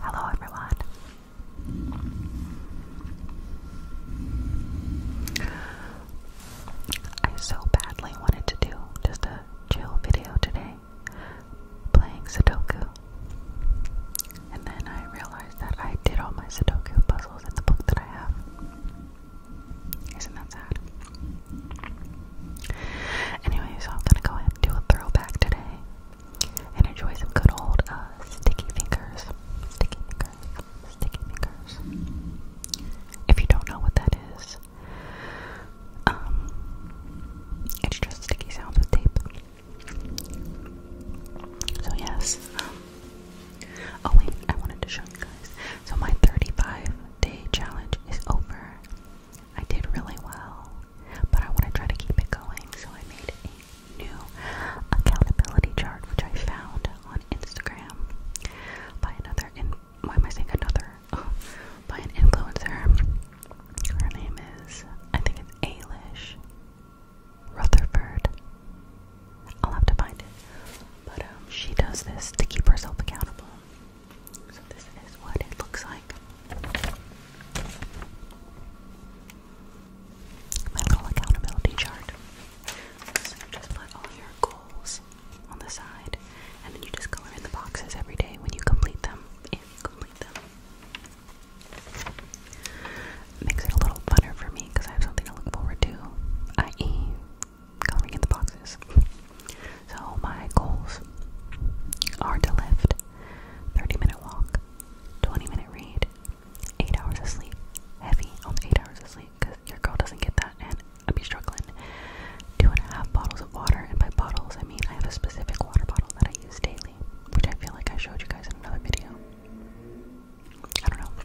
Hello, everyone. I so badly wanted to do just a chill video today, playing Sudoku. And then I realized that I did all my Sudoku puzzles in the book that I have. Isn't that sad? Anyway, so I'm gonna go ahead and do a throwback today and enjoy some good old uh, sticky fingers. Sticky fingers. Sticky fingers. If you don't know what that is, um, it's just sticky sounds with tape. So yes, um, Oh I wanted to show you guys. So my 35 day challenge is over. I did really well, but I want to try to keep it going, so I made a new accountability chart, which I found on Instagram by another in. Why am I saying another? Oh, by an influencer. Her name is, I think it's Alish Rutherford. I'll have to find it. But um, she does this to keep herself accountable. So this is what it looks like. My little accountability chart. So you just put all your goals on the side, and then you just color in the boxes every day when you complete them. If you complete them. Makes it a little funner for me because I have something to look forward to, i.e., coloring in the boxes. So my goals are to lift 30 minute walk, 20 minute read, 8 hours of sleep, heavy on the 8 hours of sleep because your girl doesn't get that and I'd be struggling. Two and a half bottles of water, and by bottles I mean I have a specific water bottle that I use daily, which I feel like I showed you guys in another video. I don't know.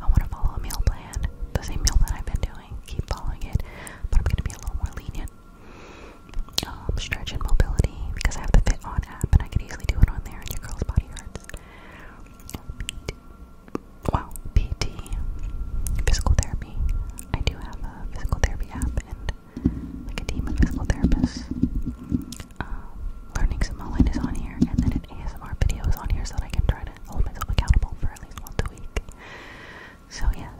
I want to follow a meal plan, the same meal that I've been doing, keep following it, but I'm going to be a little more lenient. Um, stretch and mobility, because I have the Fit On app and I can easily do it on there and your girl's body hurts. Wow, PT, physical therapy. I do have a physical therapy app and like a team of physical therapists. Um, learning Samoan is on here, and then it different ASMR videos on here so that I can try to hold myself accountable for at least once a week. So, yes,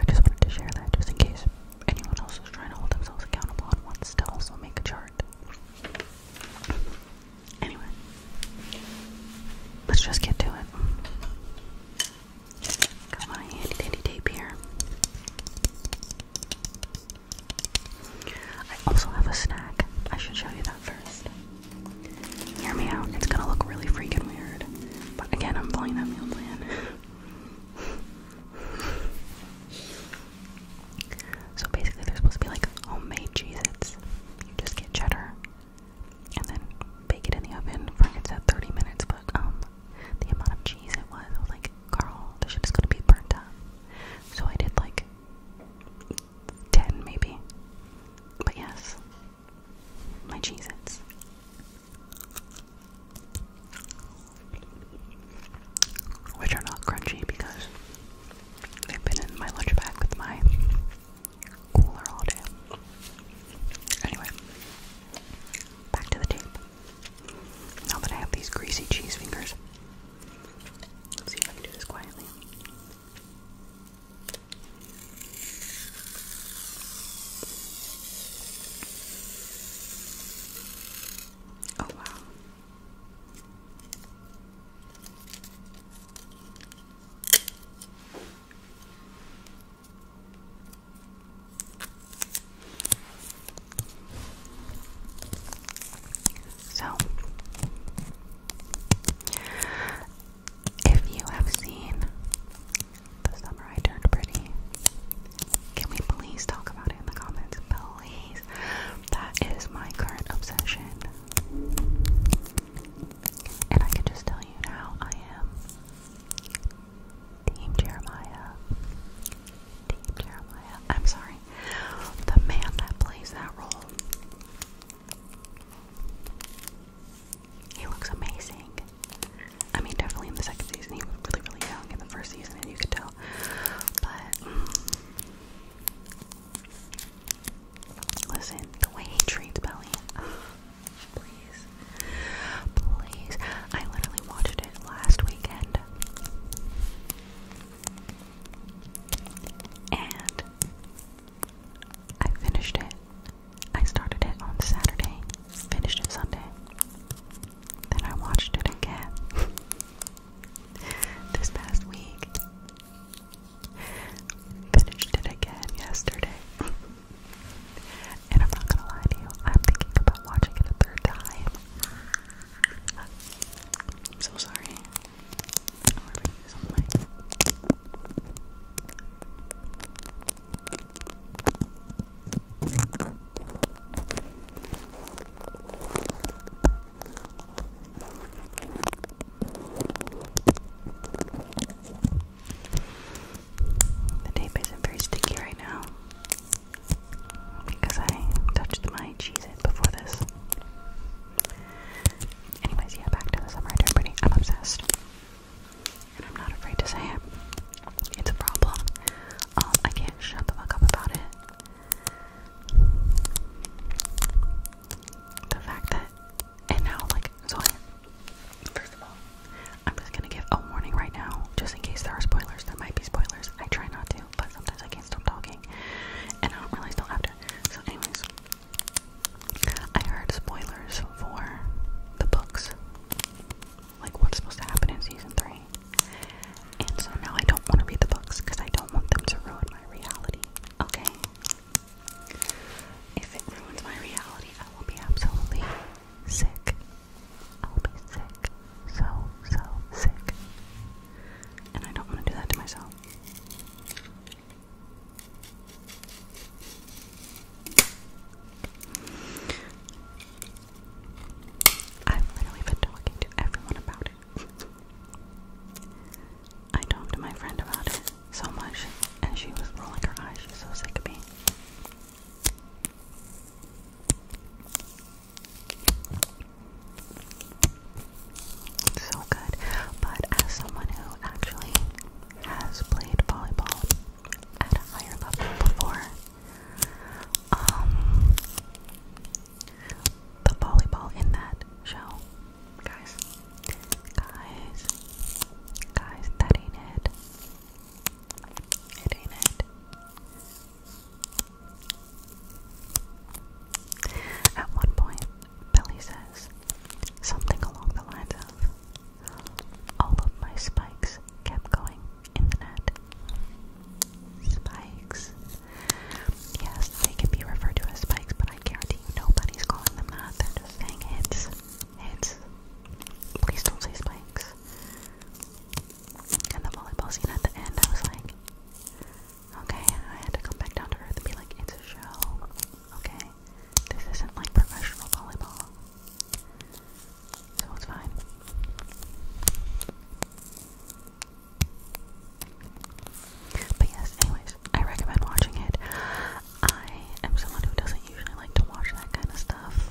I just wanted to share that just in case anyone else is trying to hold themselves accountable and wants to also make a chart. Anyway, let's just get to it. Got my handy dandy tape here. I also have a snack. I should show you that first. Hear me out. It's gonna look really freaking weird. But again, I'm following that meal plan. so basically, they're supposed to be like homemade Cheez Its. You just get cheddar and then bake it in the oven for it's at 30 minutes. But um, the amount of cheese it was, like, Carl, the shit is gonna be burnt up. So I did like ten maybe. But yes, my cheese ends, Which are not crunchy because they've been in my lunch bag with my cooler all day. Anyway, back to the tape. Now that I have these greasy cheese fingers, Let's see if I can do this quietly. Oh, wow. So, if you have seen The Summer I Turned Pretty, can we please talk about it in the comments? Please. That is my current obsession. And I can just tell you now I am Team Jeremiah. I'm sorry. The man that plays that role. He looks amazing. I mean, definitely in the second season, he was really, really young in the first season, and you could tell. But, listen, the way he treats Belly. Oh, please. Please. I literally watched it last weekend. And I finished it. I started it on Saturday, finished it Sunday. Then I watched it again this past week. Finished it again yesterday. and I'm not gonna lie to you, I'm thinking about watching it a third time. I'm so sorry. The tape isn't very sticky right now because I touched my cheek before this. Anyways, yeah, back to the summer eternity. I'm obsessed. And I'm not afraid to say it. It's a problem. Um, I can't shut the fuck up about it. The fact that, and now, like, so I, first of all, I'm just gonna give a warning right now, just in case there are spoilers. There might be spoilers. I try not to do, but sometimes I can't stop talking, and I don't really still after. So, anyways, I heard spoilers for the books, like what's supposed to happen in season three, and so now I don't want to read the books because I don't want them to ruin my reality. Okay, if it ruins my reality, I will be absolutely sick. I'll be sick, so so sick and I don't want to do that to myself. I've literally been talking to everyone about it. I talked to my friend about it so much, and she was rolling her eyes. She's so sick of me. So good. But as someone who actually has played volleyball at a higher level before, um, the volleyball in that show, guys, guys, guys, that ain't it. It ain't it. At one point, Billy says something along the lines of, All of my spikes kept going in the net. Spikes. Yes, they can be referred to as spikes, but I guarantee you nobody's calling them that. They're just saying hits. Hits. Please don't say spikes and the volleyball scene at the end, I was like, okay, I had to come back down to earth and be like, a show, okay? This isn't like professional volleyball. So it's fine. But yes, anyways, I recommend watching it. I am someone who doesn't usually like to watch that kind of stuff.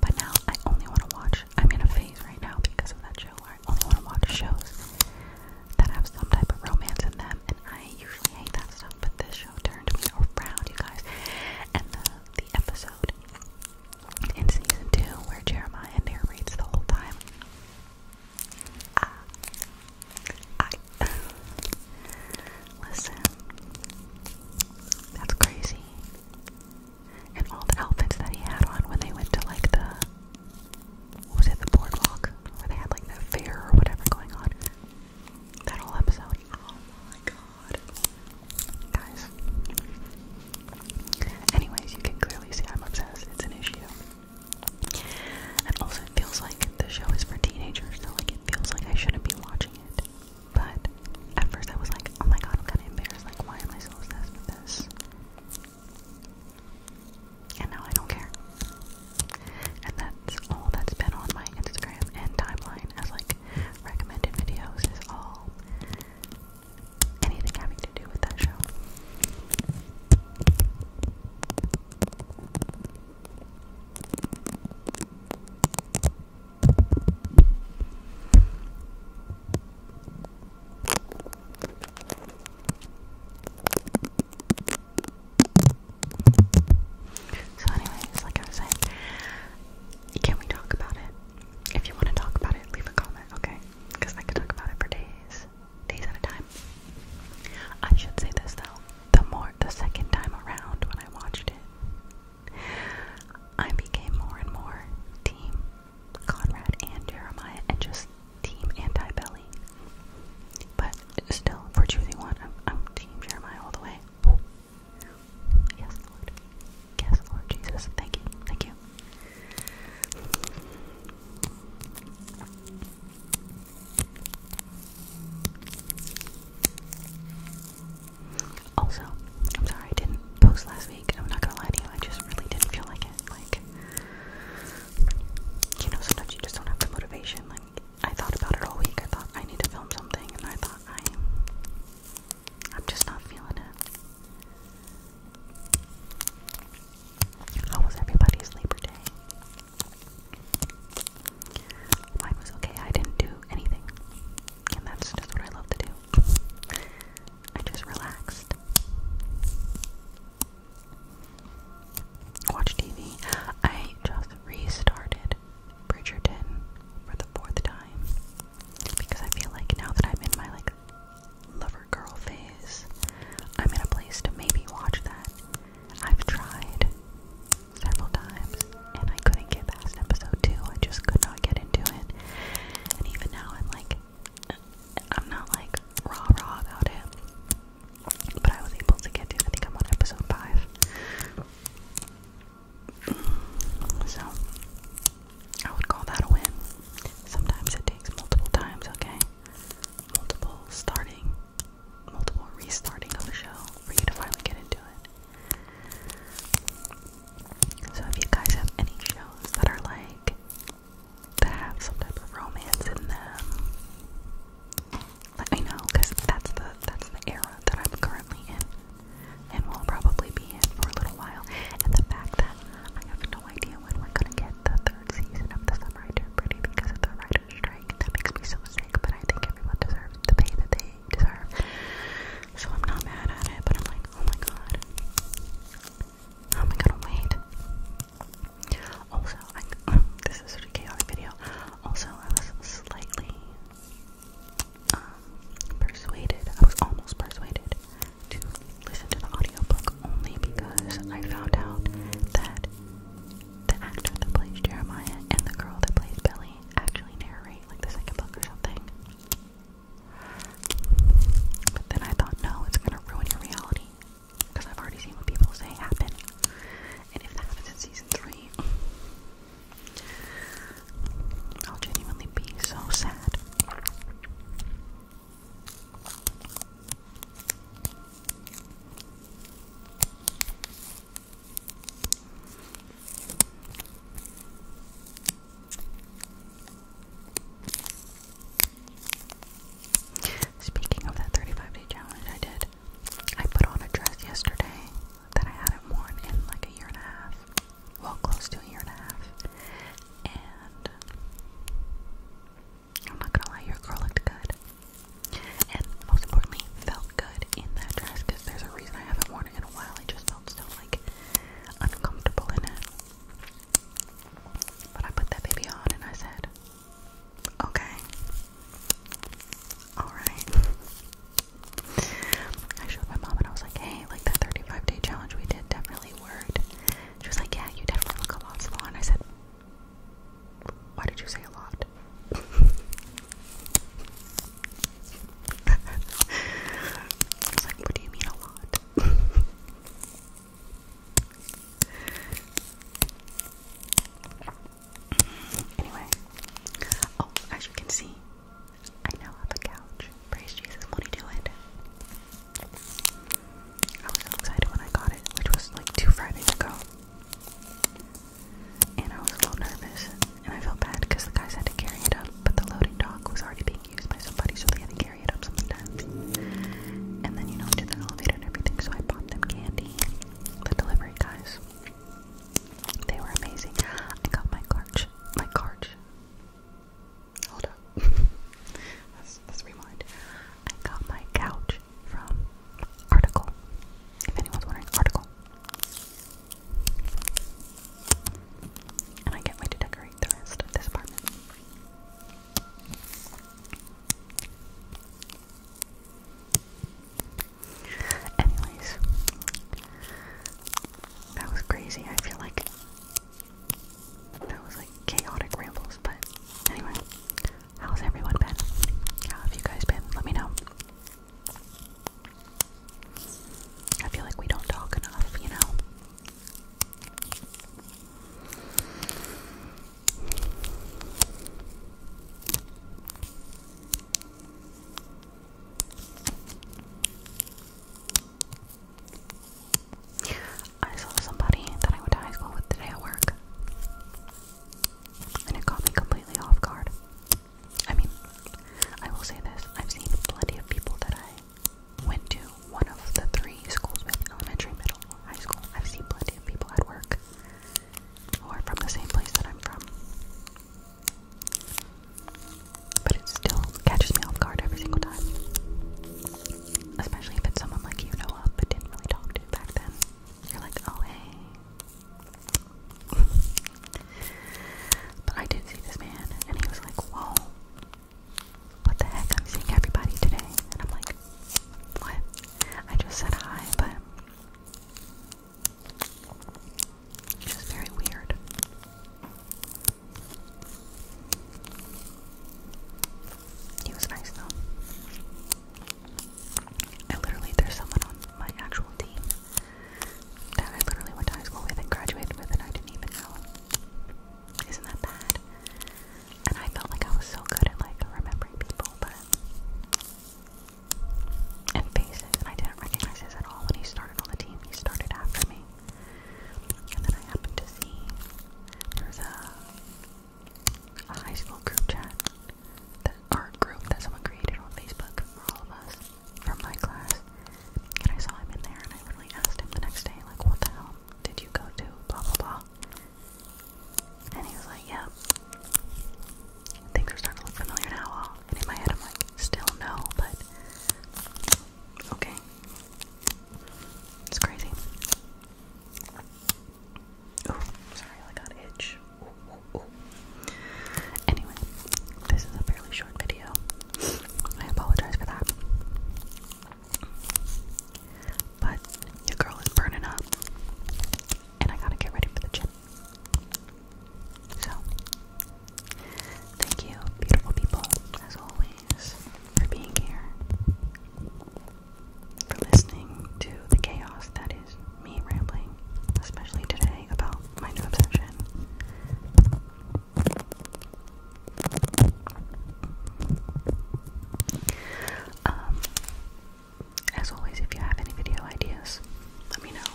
But now I only want to watch. I'm in a phase right now because of that show where I only want to watch shows that have some type of romance in them, and I usually hate that stuff. But this show turned me around, you guys. And the the episode in season two where Jeremiah narrates the whole time. listen. That's crazy and all the outfits that he had on when they went to like the what was it the boardwalk where they had like the fair or whatever going on. That whole episode. Oh my god, guys. Anyways, you can clearly see I'm obsessed. It's an issue, and also it feels like the show is for teenagers. So like it feels like I shouldn't be watching it. But at first I was like, oh my god, I'm kind of embarrassed. Like, why am I so obsessed with this? And now I don't care. And that's all that's been on my Instagram and timeline as like recommended videos is all anything having to do with that show. So, anyways, like I was saying, can we talk about it? If you want to talk about it, leave a comment, okay? Because I could talk about it for days, days at a time. I should say this though: the more, the second time around when I watched it, I became more and more Team Conrad and Jeremiah and just Team Anti Belly. But still, for choosing one, I'm Team Jeremiah all the way. Yes, Lord. Yes, Lord Jesus. Thank you. Thank you. Also, I'm sorry I didn't post last week. I'm not gonna lie to you, I just really didn't feel like it. Like, you know, sometimes you just don't have the motivation. Like, I thought about it all week. I thought I need to film something, and I thought I, am just not feeling it. How was everybody's Labor Day? Mine was okay. I didn't do anything. And that's just what I love to do. I just relaxed. Watch TV. I just restarted Bridgerton for the fourth time because I feel like now that I'm in my like lover girl phase, I'm in a place to maybe watch that. I've tried several times and I couldn't get past episode two. I just could not get into it. And even now, I'm like, I'm not like raw raw about it, but I was able to get to. I think I'm on episode five. So I would call that a win. Sometimes it takes multiple times, okay? Multiple starting, multiple restarting of the show for you to finally get into it. So if you guys have any shows that are like that have some type of romance in them, let me know because that's the that's the era that I'm currently in and will probably be in for a little while. And the fact that I have no idea when we're gonna get the third season of The Summer I Turned Pretty because of the writer's strike, that makes me so sick, but I think everyone deserves the pay that they deserve. So I'm not mad at it, but I'm like, oh my god. How am I wait? Also, this is a chaotic video. Also, I was slightly um, persuaded, I was almost persuaded to listen to the audiobook only because I found out that the actor that plays Jeremiah and the girl that plays Belly actually narrate like the second book or something. But then I thought, no, it's gonna ruin your reality because I've already seen what people say happen, and if that happens in season three, I'll genuinely be so sad. Speaking of that 35 day challenge, I did. I put on a dress yesterday that I hadn't worn in like a year and a half. Well, close to a year and a half. And I'm not gonna lie, your girl looked good. And most importantly, felt good in that dress there's a reason I haven't worn it in a while. I just felt so like uncomfortable in it. But I put that baby on and I said, okay, alright. I showed my mom and I was like, hey, like that 35 day challenge we did definitely worked. She was like, yeah, you definitely look a lot smaller. And I said, why did you say a lot? it's what do you mean a lot? anyway, oh, as you can see, I now have a couch. Praise Jesus, what do you do it? I was so excited when I got it, which was like two Fridays ago and I was a little nervous, and I felt bad because the guys had to carry it up, but the loading dock was already being used by somebody, so they had to carry it up sometimes. And then, you know, to the elevator and everything, so I bought them candy, the delivery guys. They were amazing. I got my couch. my couch. Hold up. let's, let rewind. I got my couch from Article. If anyone's wondering, Article. And I can't to decorate the rest of this apartment. Anyways, that was crazy. I feel like that was like chaotic rambles, but anyway, how's everyone been? How have you guys been? Let me know. I feel like we don't talk enough, you know? I saw somebody that I went to high school with today at work, and it caught me completely off guard. I mean, I will say this I've seen plenty of people that I went to one of the three schools with elementary, middle, high school. I've seen plenty of people at work who are from the same place that I'm from. But it still catches me off guard every single time. Especially if it's someone like you know of but didn't really talk to back then. You're like, oh hey. But I did see this man, and he was like, Whoa, what the heck? I'm seeing everybody today. And I'm like, What? I just said hi, but it's just very weird. He was nice though. I literally, there's someone on my actual team that I literally went to high school with and graduated with, and I didn't even know. Isn't that bad? And I felt like I was so good at like remembering people, but and faces, and I didn't recognize his at all when he started on the team. He started after me, and then I happened to see there's a a high school group chat that art group that someone created on Facebook for all of us from my class. And I saw him in there and I literally asked him the next day, like, what the hell did you go to? Blah blah blah. And he was like, Yeah. I think they are starting to look familiar now. And in my head I'm like, still no, but okay. It's crazy. sorry, I got itch. Anyway, this is a fairly short video. I apologize for that. But your girl is burning up, and I gotta get ready for the gym. So, thank you, beautiful people, as always, for being here, for listening to the chaos that is me rambling, especially today, about my new obsession. Um, as always, if you have any video ideas, let me know.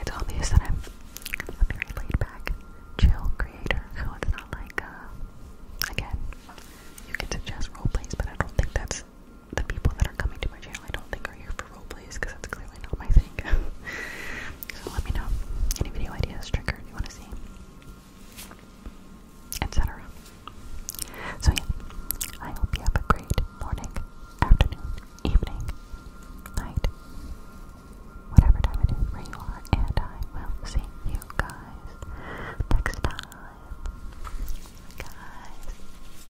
It's obvious that I'm a very laid back, chill creator, so it's not like, uh, again, you can suggest role but I don't think that's the people that are coming to my channel, I don't think are here for role plays, because that's clearly not my thing. so let me know any video ideas, trigger you want to see, etc. So yeah, I hope you have a great morning, afternoon, evening, night, whatever time it is where you are, and I will see you guys next time. Guys.